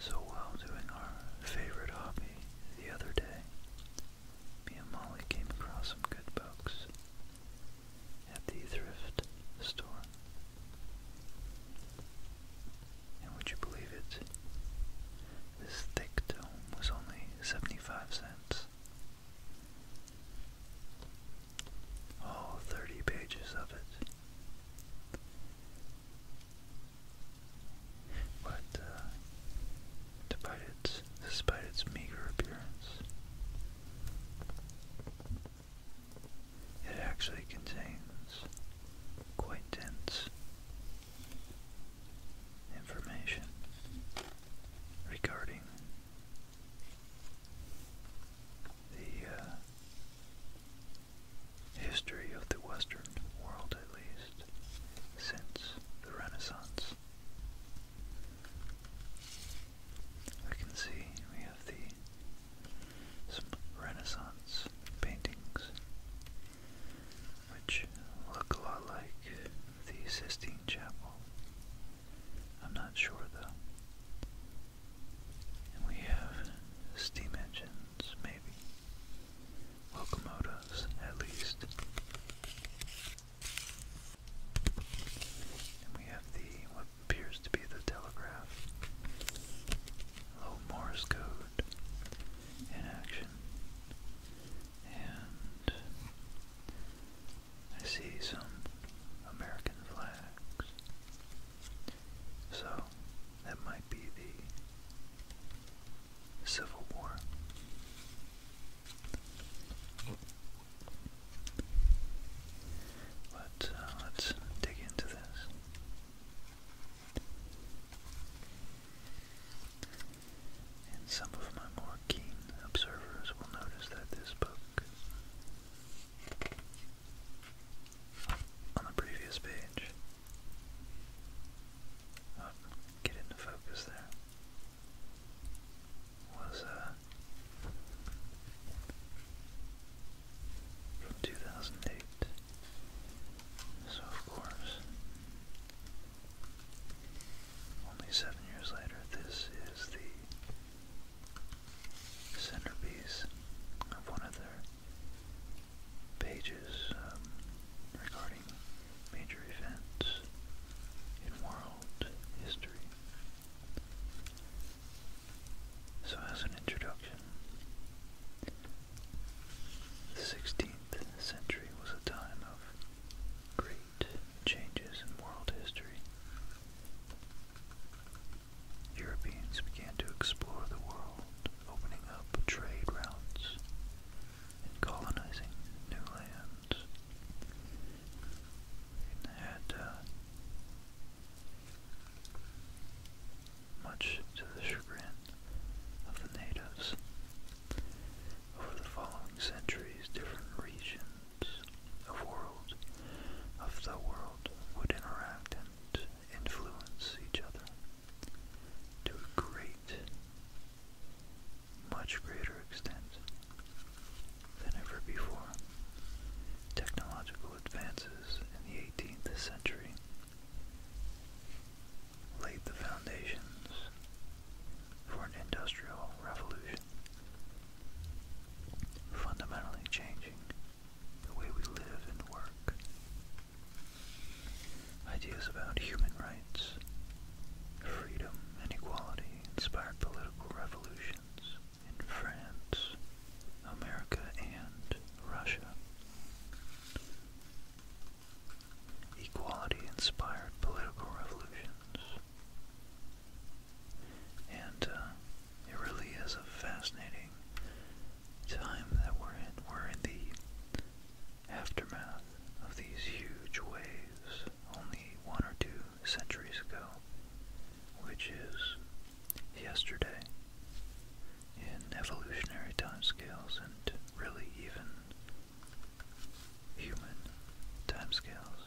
So while doing our favorite hobby the other day, me and Molly came across some good books at the thrift store. And would you believe it? This thick tome was only 75 cents. All 30 pages of it but uh, despite, its, meager appearance, it actually contains quite dense information regarding the uh, history of the Western world, at least, since the Renaissance. I can see we have the some Renaissance paintings which look a lot like the Sistine Chapel. I'm not sure though. we have steam engines, maybe. Locomotives, at least we have the what appears to be the telegraph. Low Morse code in action. And I see some American flags. So that might be the Civil War. But uh, let's dig into this. And some of my more keen observers will notice that this book on the previous page, oh, get into focus there, was uh, from 2008. So, of course, only seven years later, this is the centerpiece of one of their pages um, regarding major events in world history. So, as an introduction, the 16th century was a time of great changes in world history. Europeans began to explore the world, opening up trade routes and colonizing new lands in the much to the chagrin of the natives. Over the following centuries, different regions of the world would interact and influence each other to a great much greater extent than ever before. Technological advances in the 18th century laid the foundations for an industrial revolution, fundamentally changing the way we live and work. Ideas about human rights, freedom, and equality inspired political revolutions in France, America, and Russia. Equality inspired political revolutions. And uh, it really is a fascinating time that we're in. We're in the aftermath of these huge waves only one or two centuries ago, which is yesterday in evolutionary timescales and really even human timescales.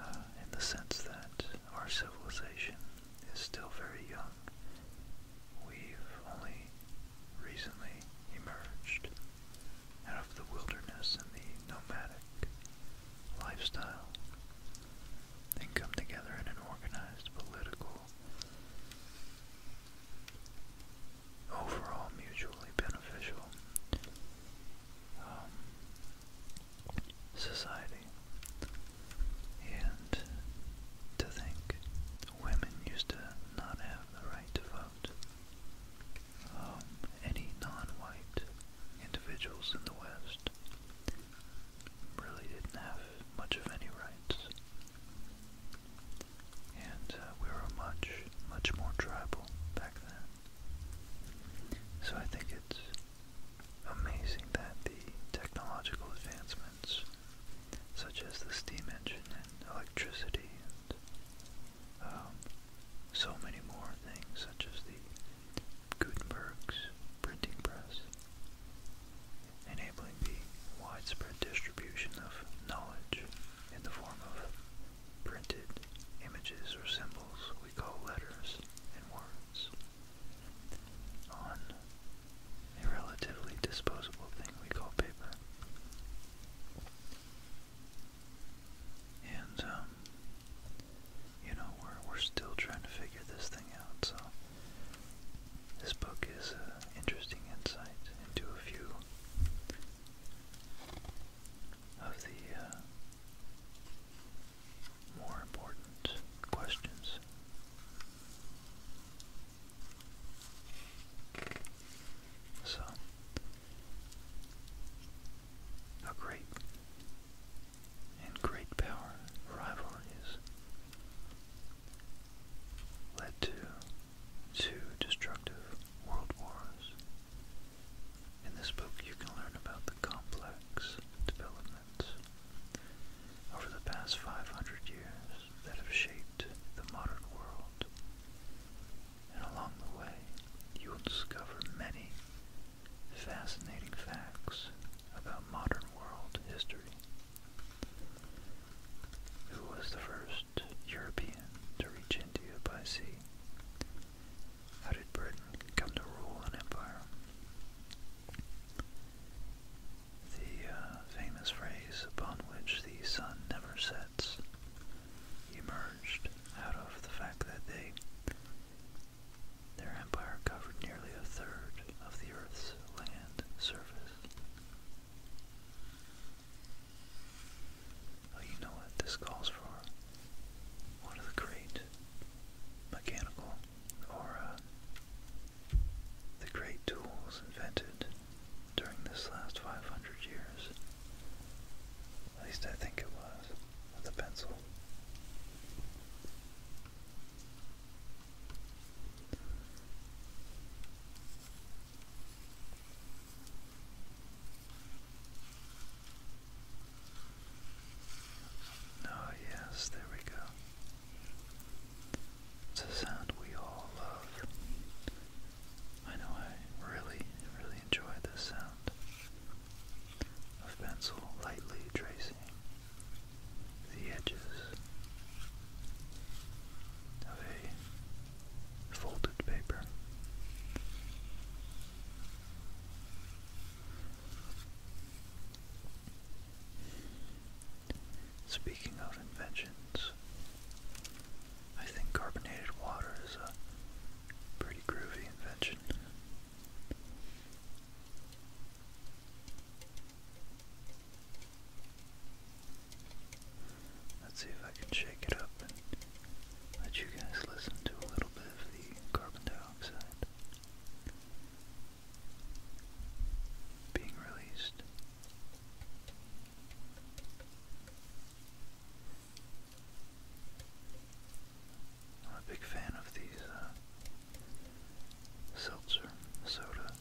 Uh, in the sense that our civilization is still very young. We've only recently emerged out of the wilderness and the nomadic lifestyle and come together in an organized political, overall mutually beneficial um, society. And to think women used to not have the right to vote. Um, any non-white individuals in the West really didn't have much of any rights. And uh, we were much, much more tribal back then. So I think it's amazing that the technological advancements, such as the steam engine and electricity um, so many more things, such as the Gutenberg's printing press, enabling the widespread distribution of knowledge in the form of printed images or symbols we call letters and words on a relatively disposable thing we call paper. And um, you know we're we're still trying to figure this thing out. So this book is an interesting insight into a few of the uh, more important questions. So a great and great power rivalries led to two destructive world wars. In this book, you can learn about the complex developments over the past 500 years that have shaped the modern world and along the way you will discover many fascinating facts about modern world history. Who was the first European to reach India by sea? How did Britain come to rule an empire? The uh, famous phrase upon which the sun never sets emerged out of the fact that they their empire covered nearly a third of the Earth's land surface. Oh, you know what this calls for? One of the great mechanical or uh, the great tools invented during this last 500 years. At least I think it was, with a pencil. Oh, yes, there we go. It's a sound we all love. I know I really, really enjoy this sound of pencil lightly tracing the edges of a folded paper. Speaking of inventions, I think carbonated water is a pretty groovy invention. Let's see if I can shake it up and let you guys listen to a little bit of the carbon dioxide being released. I'm a big fan of these uh, seltzer, soda,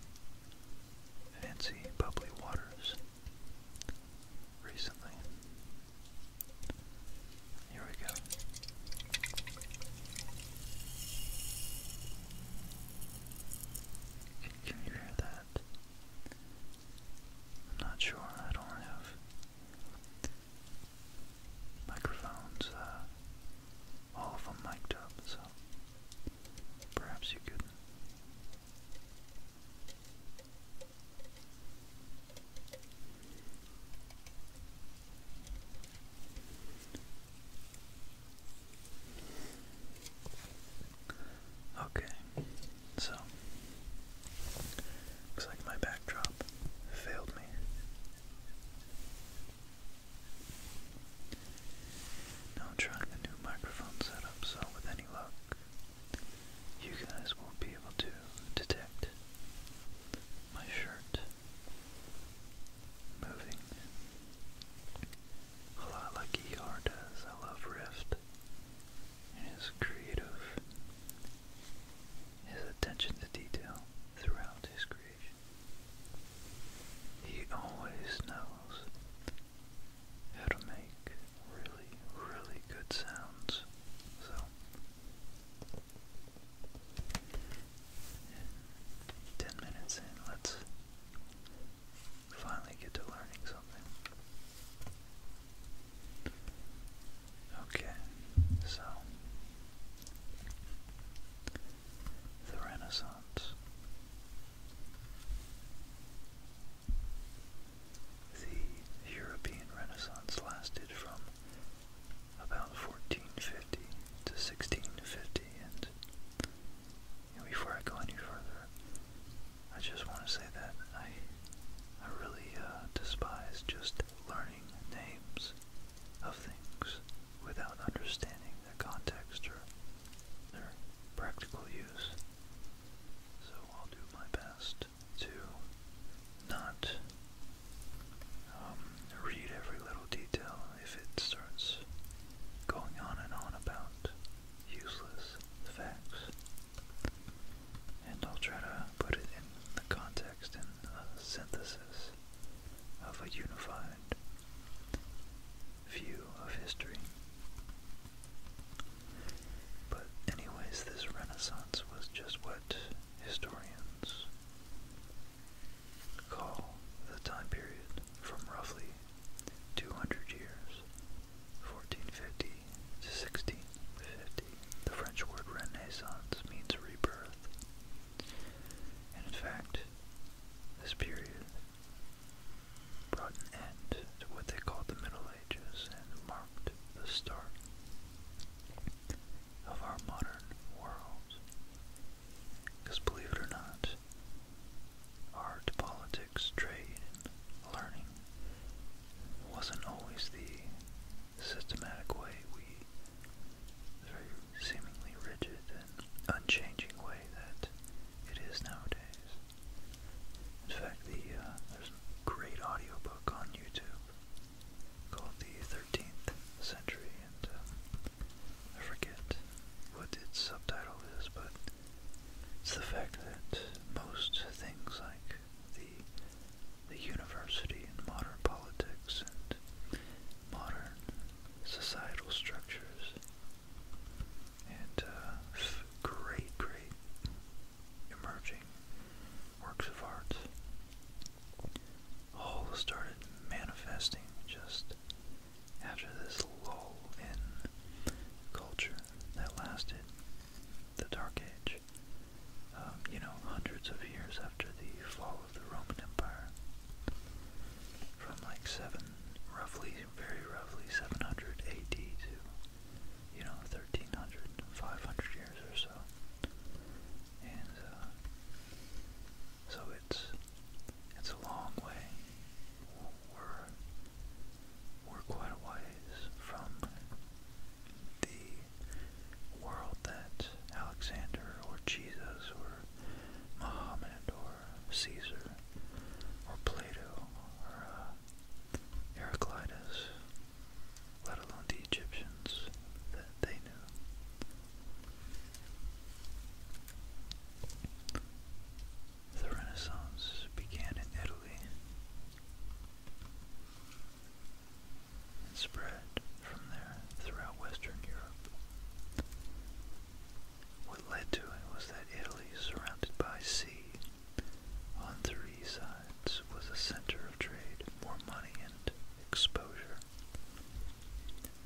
fancy bubbly waters recently. Here we go. Can you hear that? I'm not sure. I don't have microphones, uh, all of them mic'd up, so perhaps you could Okay. So, looks like my backdrop failed me. Now I'm trying a new microphone setup, so with any luck, you guys will be able to detect my shirt moving a lot like ER I love Rift his creative, his attention to detail throughout his creation. He always knows how to make really, really good sounds. So, ten minutes in, let's finally get to learning something. Okay, so the Renaissance. The European Renaissance lasted from about 1450 to 1650, and before I go any further, I just want to say that I I really uh, despise just learning names of things without understanding the context or their practical use. So I'll do my best to not um, read every little detail if it starts going on and on about useless facts. And I'll try to put it in the context and synthesis of a unified view of history. But, anyways, this Renaissance was just what historians call the time period from roughly 200 years, 1450 to 1650, the French word Renaissance means rebirth. And in fact, this period brought an end to what they called the Middle Ages and marked the start of our modern world. Because believe it or not, art, politics, trade, learning wasn't always the systematic way we very seemingly rigid and unchanging way that it is nowadays. In fact, the uh, there's a great audio book on YouTube called The 13th Century, and um, I forget what its subtitle is, but it's the fact that most things like the university in modern politics and modern societal structures. And uh, great, great emerging works of art all started manifesting just after this lull in culture that lasted the Dark Age, um, you know, hundreds of years after the fall of the Roman Empire. From like seven, roughly, very roughly 700 AD to, you know, 1300, 500 years or so. And uh, so it's, it's a long way we're quite a ways from the world that Alexander or Jesus or Muhammad or Caesar or Plato or uh, Heraclitus, let alone the Egyptians that they knew. The Renaissance began in Italy and spread from there throughout Western Europe. What led to it was that Italy, surrounded by sea on three sides, was a center of trade, more money, and exposure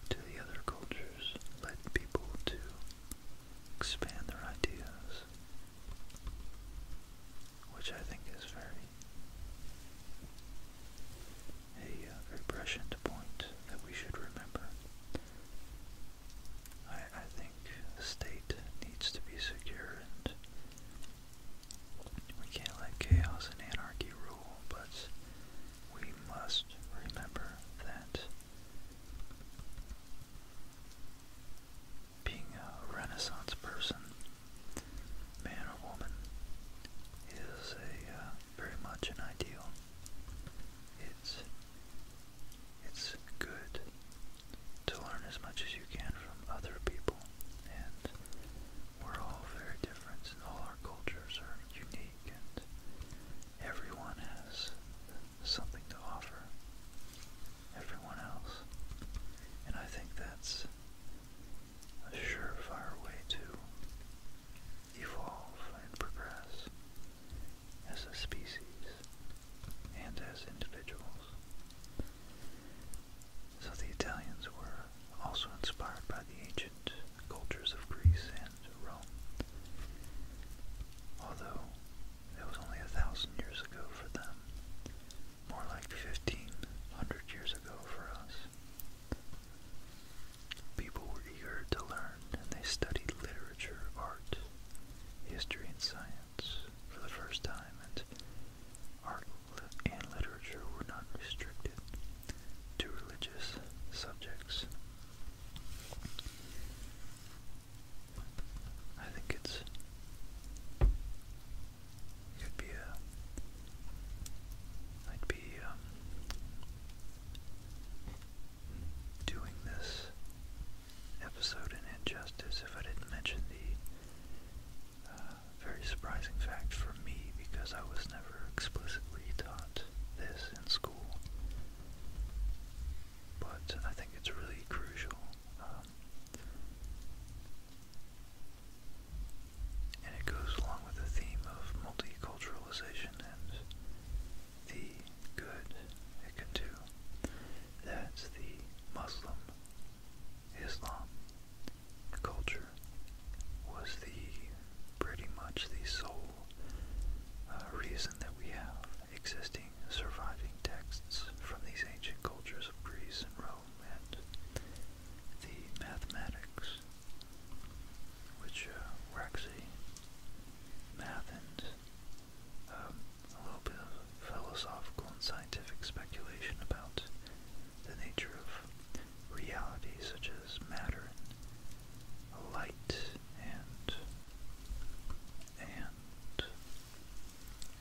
to the other cultures led people to expand their ideas which I think is very a uh, very prescient point that we should remember. I, I think the state needs to be secure and we can't let chaos and anarchy rule, but we must remember that being a Renaissance person, man or woman, is a uh, very much an ideal. It's it's good to learn as much as you can from other people, and we're all very different, and all our cultures are unique, and everyone has something to offer everyone else. And I think that's a surefire way to evolve and progress as a species and as individuals. So the Italians were also inspired by the ancient cultures of Greece and Rome. Although it was only a thousand years ago for them, more like fifteen hundred years ago for us. People were eager to learn and they studied literature, art, history, and science for the first time, and art and literature were not restricted to religious subjects. I think it's could be a I'd be um, doing this episode in injustice if I didn't mention the uh, very surprising fact for me because I was never explicitly taught this in school. But I think it's really crucial um, and it goes along with the theme of multiculturalization and the good it can do. That's the Muslim Islam culture was the pretty much the sole uh, reason that we have existing surviving texts from these ancient cultures of Greece and Rome and the mathematics, which were uh, actually math and um, a little bit of philosophical and scientific speculation about the nature of reality, such as matter and light and and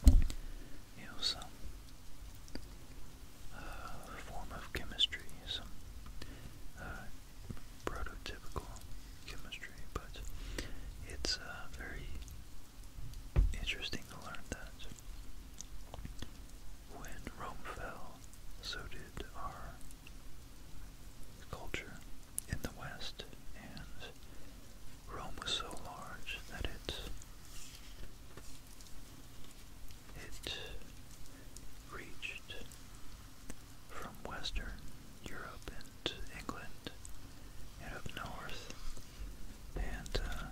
you know, some uh, form of chemistry, some uh, prototypical chemistry, but it's uh, very interesting to learn that when Rome fell, so did our culture in the West, Rome was so large that it it reached from Western Europe and England and up north and uh,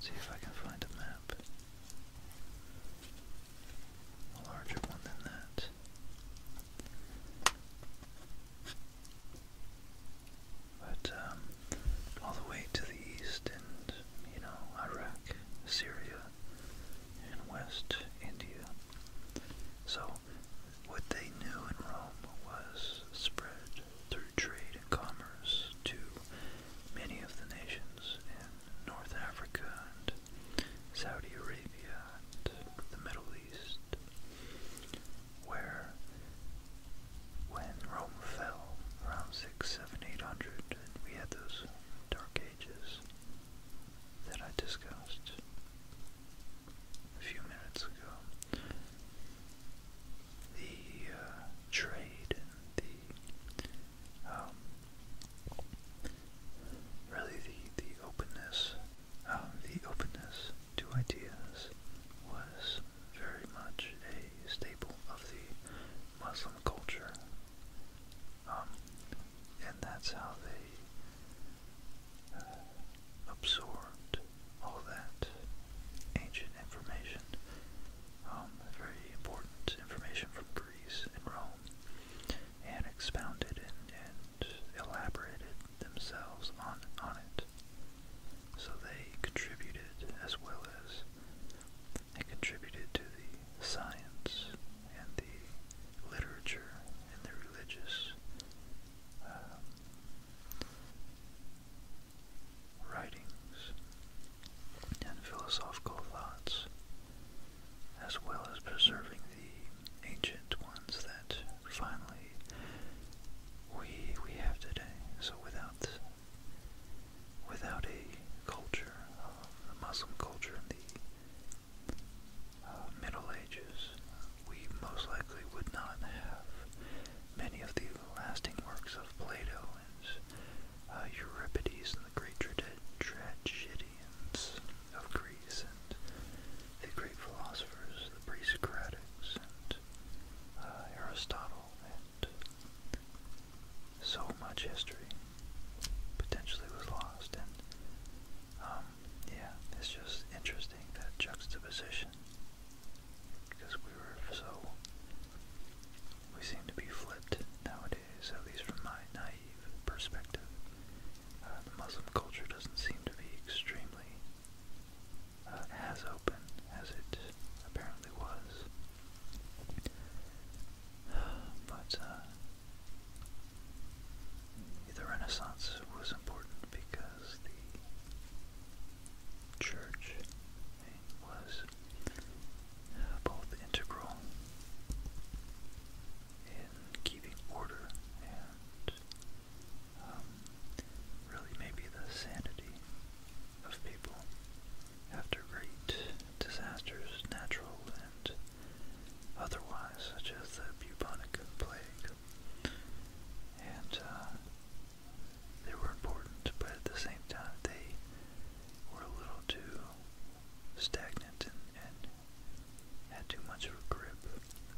see if I can find a map. A larger one than that. But um, all the way to the east and, you know, Iraq, Syria, and West India. So what they knew in Rome was spread through trade and commerce to many of the nations in North Africa and Saudi Arabia and the Middle where, when Rome fell around 6, 7, 800, and we had those dark ages that I discussed a few minutes ago, the uh, trade the um, really the openness um, the openness to ideas was very much a staple of the Muslim culture. Um, and that's how they uh, absorbed all that ancient information, um, very important information from Greece and Rome, and expounded and elaborated themselves on, on it. So they contributed as well as they contributed to the science and the literature and the religious um, writings and philosophical thoughts, as well as preserving the ancient ones that finally we we have today. So without without a culture, uh, a Muslim culture in the uh, Middle Ages, we most likely would not have many of the lasting works of Plato and uh, Euripides and the great tragedians of Greece and the great philosophers, the pre-Socratics and uh, Aristotle and so much history potentially was lost and um, yeah, it's just interesting that juxtaposition because we were so, we seem to be flipped nowadays, at least from my naive perspective the uh, Muslim culture doesn't seem to be extremely uh, as open as it apparently was. But uh, the Renaissance was important because the church was both integral in keeping order and um, really maybe the sanity of people after great disasters, natural and otherwise, such as the bubonic plague. And uh, they were important, but at the same time, they were a little too stagnant and, and had too much of a grip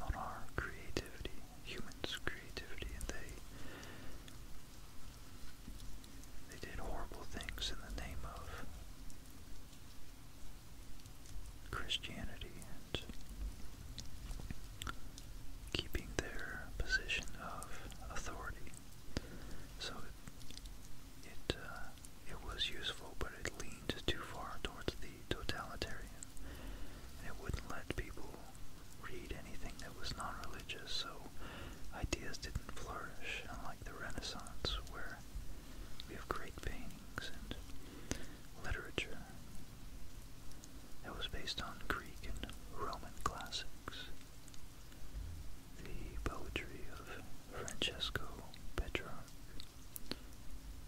on our creativity, humans' creativity, and they they did horrible things in the name of Christianity and keeping their position of authority. So it it, uh, was useful, but it leaned too far towards the totalitarian, it wouldn't let people read anything that was non-religious, so ideas didn't flourish, unlike the Renaissance, where we have great paintings and literature that was based on Greek and Roman classics. The poetry of Francesco Petrarca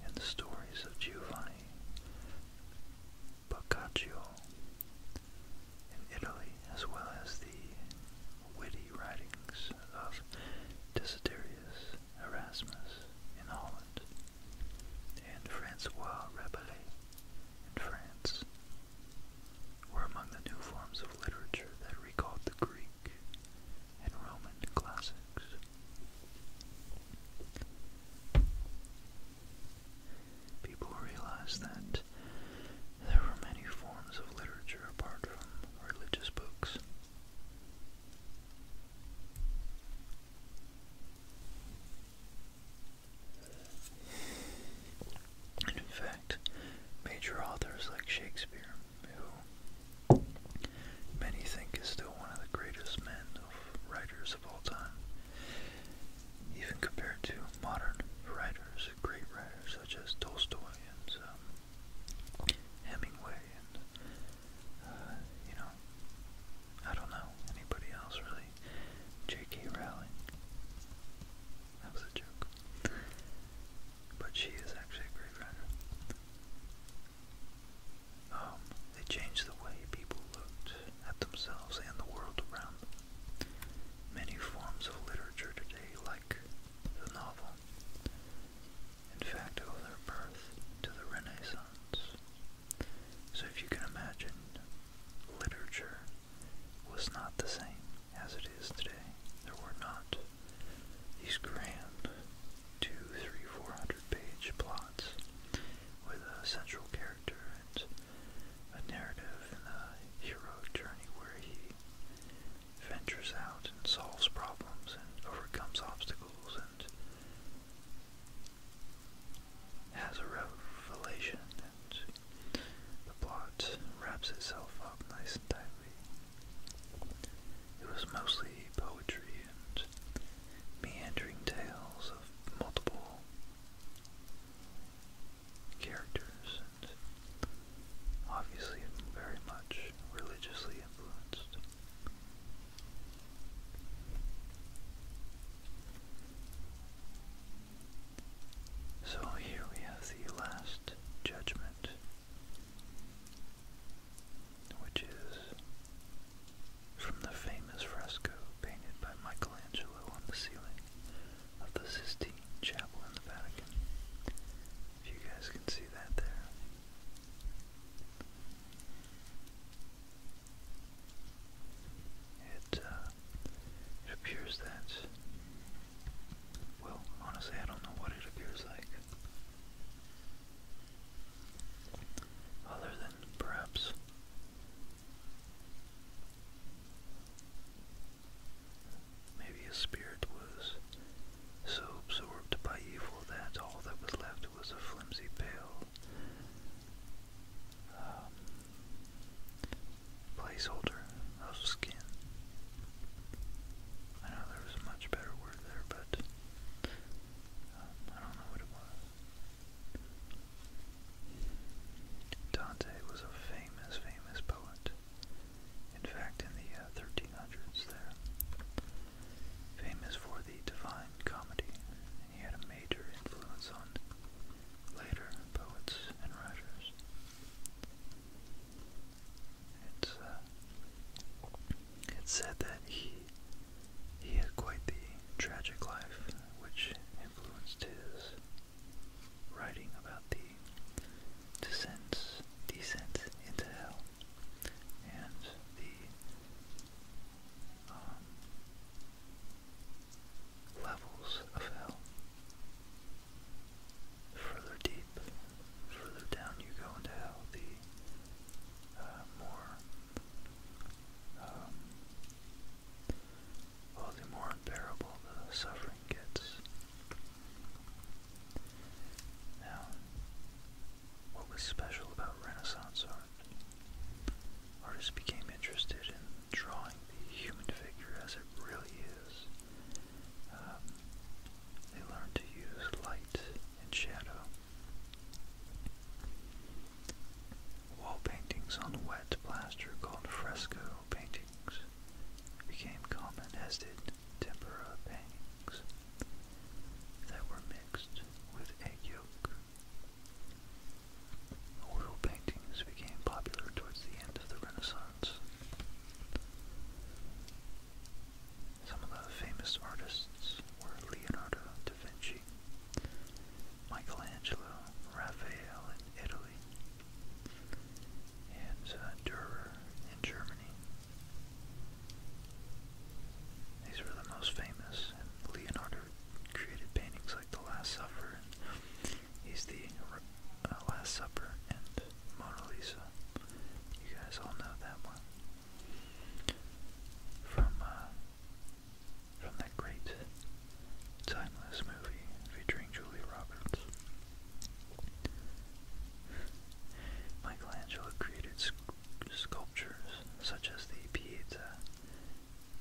and the stories of Giovanni Boccaccio in Italy, as well as the witty writings of Desiderius Erasmus in Holland and Francois Rabelais in France were among the new forms of literature that recalled the Greek and Roman classics. People realized that there were many forms of literature apart from religious books. And in fact, major authors like Shakespeare, who many think is still one of the greatest men writers of all time. Even compared to modern writers, great writers such as Tolstoy and um, Hemingway and, uh, you know, I don't know, anybody else really. J.K. Rowling. That was a joke. But she is actually a great writer. Um, they changed the way people looked at themselves and the world around them. Many forms of literature today, like the novel, in fact owe their birth to the Renaissance. So if you can imagine, literature was not the same as it is today. There were not these grand two, three, four hundred page plots with a central character and a narrative and a hero journey where he ventures out and solves problems and overcomes obstacles and has a revelation and the plot wraps itself up nice and tightly. It was mostly poetry and meandering tales of multiple characters and obviously very much religiously influenced. So here we have the last judgment which is from the famous fresco painted by Michelangelo on the ceiling of the Sistine Chapel in the Vatican. If you guys can see that there. It, uh, it appears that, well, honestly, I don't know what it appears like. Other seven, perhaps. Maybe his spirit was so absorbed by evil that all that was left was a flimsy pail. Um, placeholder of skin. I know there was a much better word there, but um, I don't know what it was. Dante was a famous, famous poet. In fact, in the 1300s uh, there. Famous for the Divine Comedy, and he had a major influence on later poets and writers. It's, uh, it's said that he he had quite the tragic life, which influenced his writing about the descent, descent into hell and the um, levels of hell. Further deep, further down you go into hell, the uh, more um, the more unbearable the suffering gets. Now, what was special about Renaissance art? Artists became interested in drawing the human figure as it really is. Um, they learned to use light and shadow Wall paintings on wet plaster called fresco paintings became common as did tempera paintings that were mixed with egg yolk. Oil paintings became popular towards the end of the Renaissance. Some of the famous artists were Leonardo da Michelangelo, Raphael in Italy, and uh, Dürer in Germany. These were the most famous, and Leonardo created paintings like The Last Supper, and he's the uh, Last Supper and Mona Lisa. You guys all know that one. From uh, from that great, timeless movie featuring Julie Roberts. Michelangelo created sculptures such as the Pieta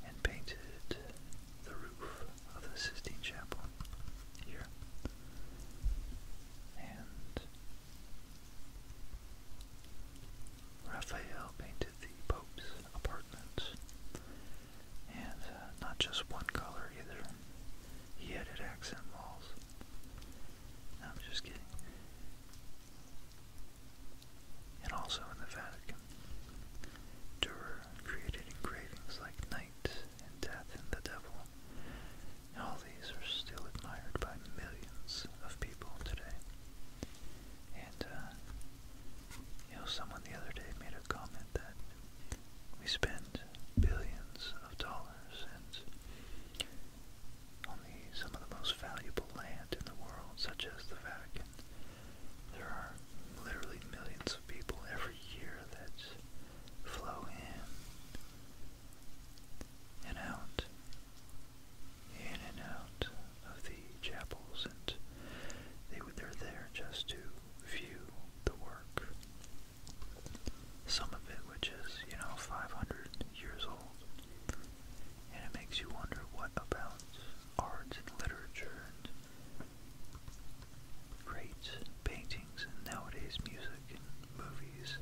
and painted the roof of the Sistine Chapel here. And Raphael painted the Pope's apartments. And uh, not just one color either. He added accent walls. I'm just kidding. And also in the Vatican, Durer created engravings like Night and Death and the Devil. all these are still admired by millions of people today. And, uh, you know, someone the other day made a comment that we spend billions of dollars and on the, some of the most valuable land in the world, such as the Vatican. There are literally millions of people every year that flow in and out in and out of the chapels, and they they're there just to view the work. Some of it, which is you know 500 years old, and it makes you wonder what about art and literature and great paintings and nowadays music and movies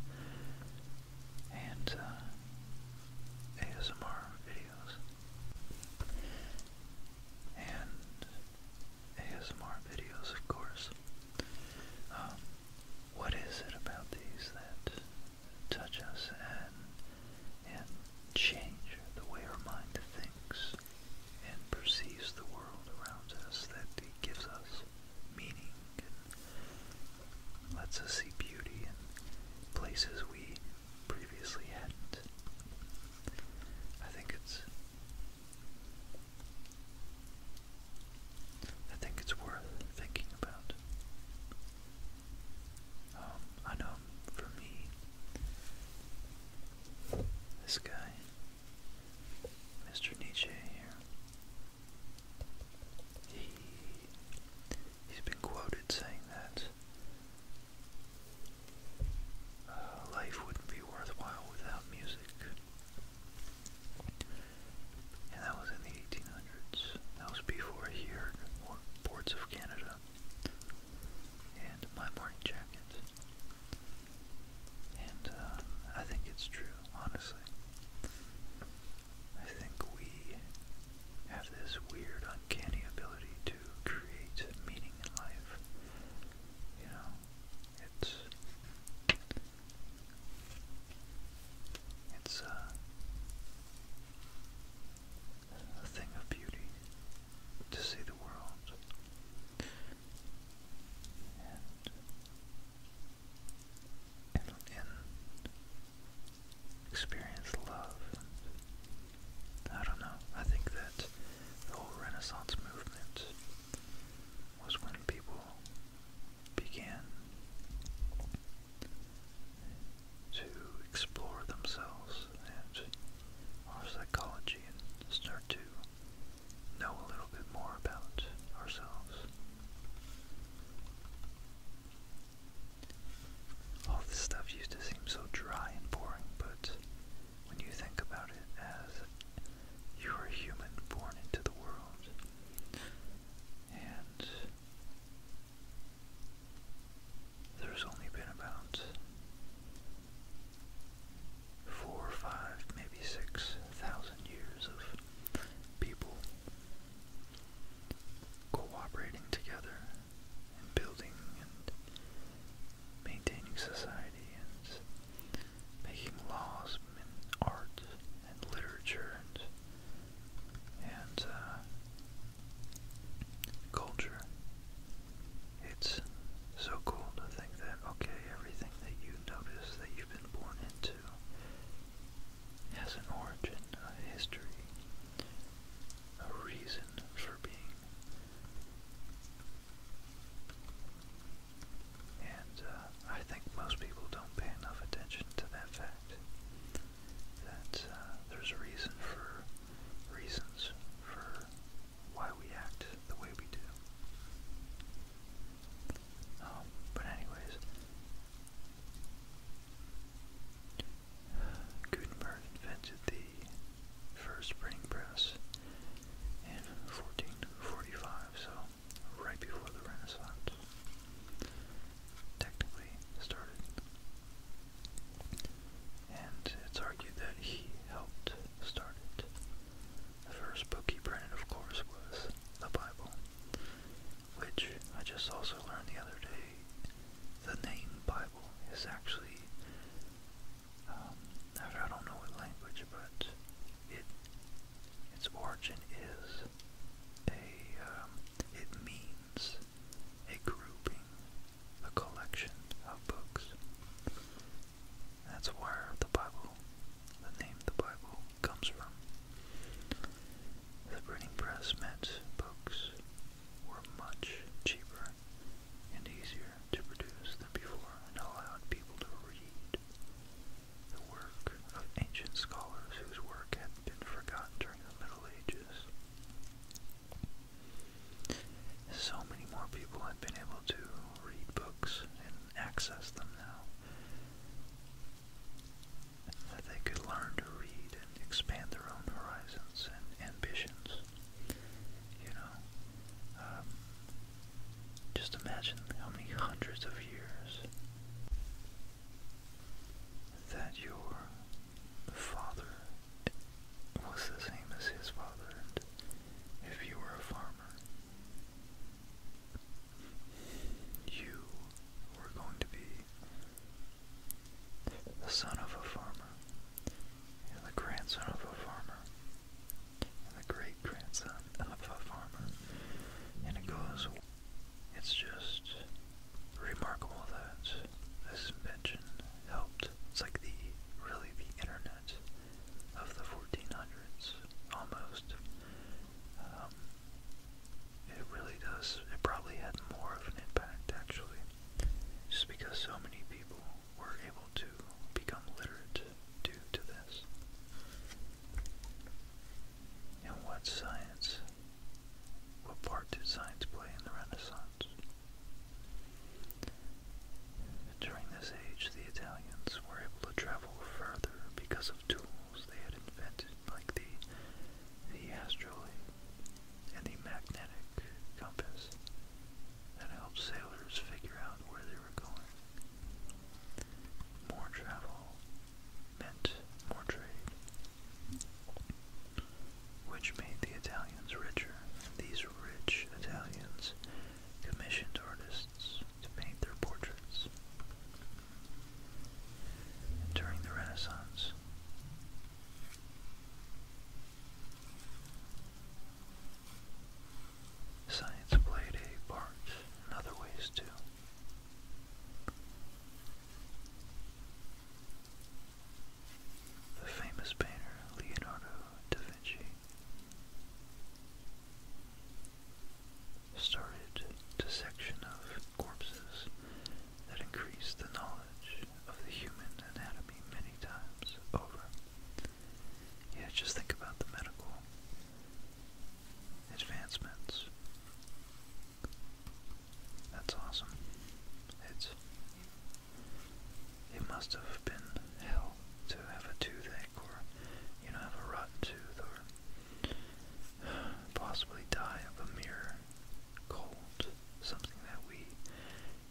and uh, ASMR videos and ASMR videos, of course. Um, what is it about these that touch us and and change the way our mind thinks and perceives the world around us that gives us meaning and lets us see beauty in places we previously hadn't. I think it's I think it's worth thinking about. Um, I know for me, this guy, Mr. Nietzsche here, he he's been quoted saying that uh, life wouldn't be worthwhile without music. And that was in the 1800s. That was before he heard Ports of Canada and My Morning Jacket. And uh, I think it's true, honestly. I think we have this weird, uncanny ability to create meaning in life. You know, it's it's uh, a thing of beauty to see the world. And in, experience love. I don't know. I think that the whole Renaissance movement was when people began to explore themselves and our psychology and start to know a little bit more about ourselves. All this stuff used to seem so dry and boring, but when you think about it as you are a human born into the world, and there's only been about four or five, maybe six thousand years of people cooperating together and building and maintaining society and making laws and art and literature and, and uh, culture. It's so cool to think that, okay, everything that you notice that you've been born into has an origin, a history, a reason for being. And uh, I think most people don't pay enough attention to that fact. That uh, there's a reason for reasons for why we act the way we do. Um, but anyways, Gutenberg invented the first printing press in 1445, so right before the Renaissance. Technically started. And it's argued that he helped start it. The first book he printed, of course, was the Bible, which I just also learned the other day the name Bible is actually, um, I don't know what language, but it its origin is a, um, it means a grouping, a collection of books. That's where the Bible, the name the Bible, comes from. The printing press meant books were much cheaper and easier to produce than before and allowed people to read the work of ancient scholars whose work had been forgotten during the Middle Ages. So many more people have been able to read books and access them now that they could learn to read expand their own horizons and ambitions. You know, um, just imagine how many hundreds of years that your father was the same as his father, and if you were a farmer, you were going to be the son of a farmer, and the grandson of a farmer, and the great grandson of a farmer. And it goes, it's just remarkable that this invention helped. It's like the really the internet of the 1400s almost. Um, it really does. It probably had more of an impact actually just because so many people were able to become literate due to this. And what science, what part did science play in the Renaissance? During this age, the Italians were able to travel further because of tools they had invented, like the the astrolabe and the magnetic compass that helped sailors figure out where they were going. More travel meant more trade, which made the Italians richer. These rich Italians commissioned artists to paint their portraits. during the Renaissance, Science played a part in other ways too. The famous painter Leonardo da Vinci started dissection of corpses that increased the knowledge knowledge of the human anatomy many times over. Yeah, just think about the medical advancements. That's awesome. It's it must have been hell to have a toothache or you know, have a rotten tooth or possibly die of a mere cold, something that we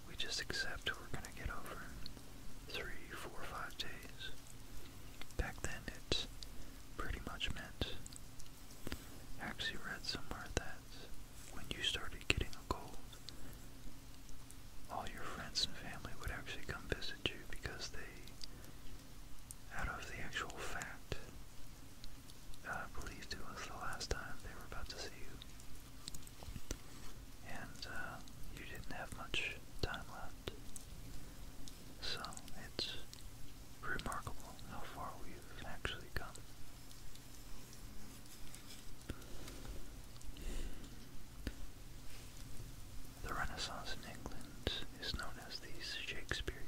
we just accept we're gonna get over in three, four, five days. Back then, it pretty much meant. I actually read somewhere that when you started getting a cold, all your friends and family would actually come visit you because they, out of the actual fact uh, believed it was the last time they were about to see you. And uh, you didn't have much time left. So it's remarkable how far we've actually come. The Renaissance in England is known as the Shakespearean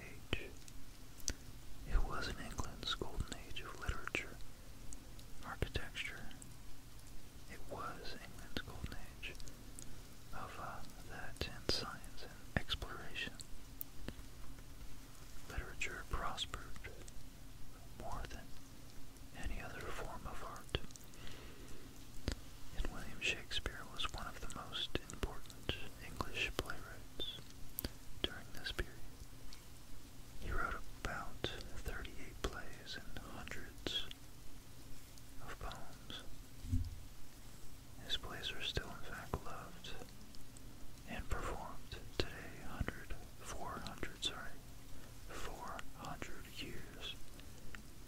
Age, it was England's golden age of literature, architecture. It was England's golden age of uh, that and science and exploration. Literature prospered more than any other form of art. And William Shakespeare was one of the most important English playwrights during this period. He wrote about 38 plays and hundreds of poems. His plays are still, in fact, loved and performed today, 100, sorry, 400 years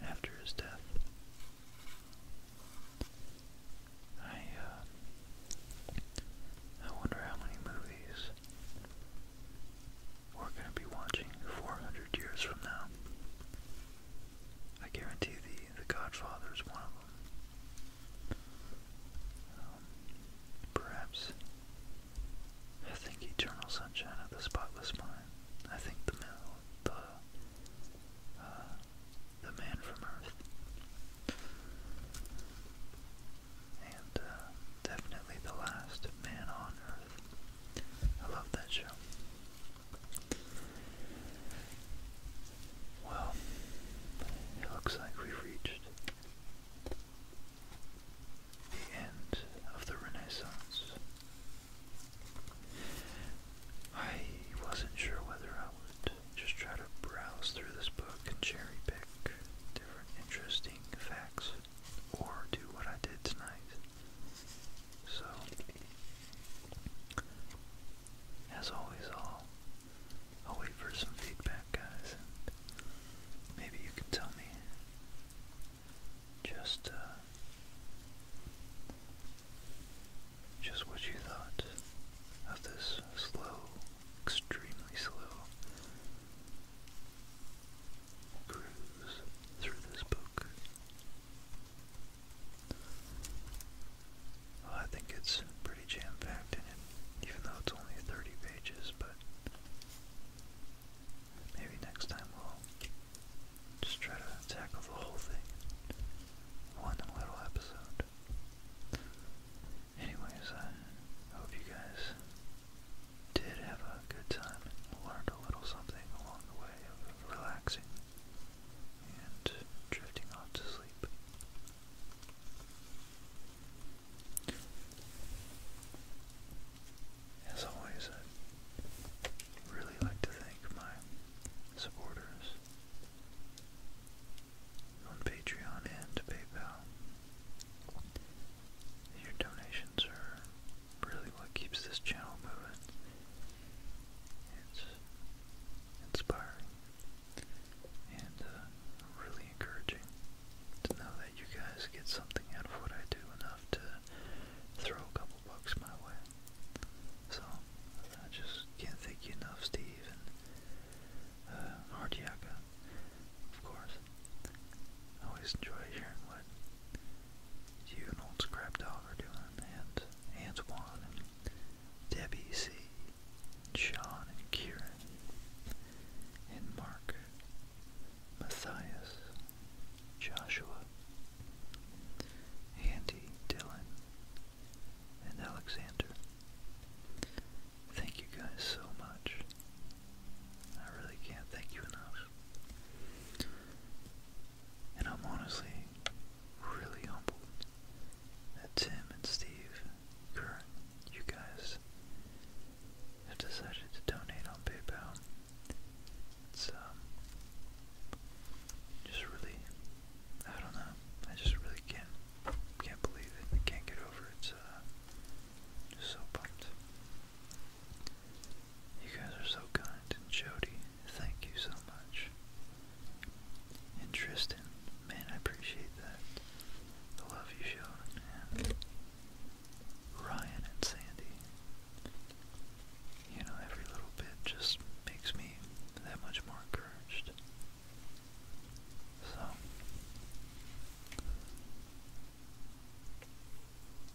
after his death. I uh, I wonder how many movies we're gonna be watching 400 years from now. I guarantee the The Godfather is one of them. Um, perhaps I think Eternal Sunshine of the Spotless Mind. I think the the uh, the Man from Earth. And uh, definitely The Last Man on Earth. I love that show. Well, it looks like we've reached the end of the Renaissance. I wasn't sure whether I would just try to browse through this book and cherry pick different interesting facts or do what I did tonight. So, as always, I'll, I'll wait for some feedback, guys, and maybe you can tell me just, uh, just what you thought of this slow extremely slow cruise through this book. I think it's pretty jam packed in it, even though it's only 30 pages, but maybe next time we'll just try to tackle the whole thing. One little episode. Anyways, I hope you guys did have a good time learned a little something along the way relaxing and drifting off to sleep. As always, i really like to thank my supporters on Patreon and PayPal. Your donations are really what keeps this channel moving. It's inspiring and uh, really encouraging to know that you guys get something out of what I do enough to throw a couple bucks my way. So I just can't thank you enough, Steve and uh, of course. I always enjoy hearing what you and old Scrap Dog are doing, and Antoine, Debbie C, and Sean, and Kieran, and Mark, Matthias, Joshua, Andy, Dylan, and Alexander. Thank you guys so much. I really can't thank you enough. And I'm honestly really humbled that Tim and Steve, Kurt, you guys have decided to donate on PayPal. It's um, just really I don't know. I just really can't can't believe it. can't get over it. Uh, so pumped. You guys are so kind. Jody, thank you so much. And Tristan, man, I appreciate that. The love you showed. Ryan and Sandy. You know, every little bit just makes me that much more encouraged so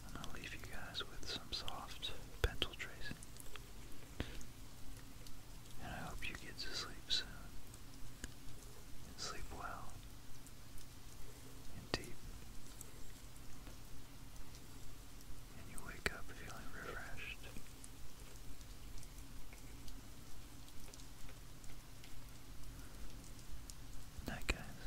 and I'll leave you guys with some soft pencil tracing. And I hope you get to sleep soon. sleep well. And deep. And you wake up feeling refreshed. Night, guys.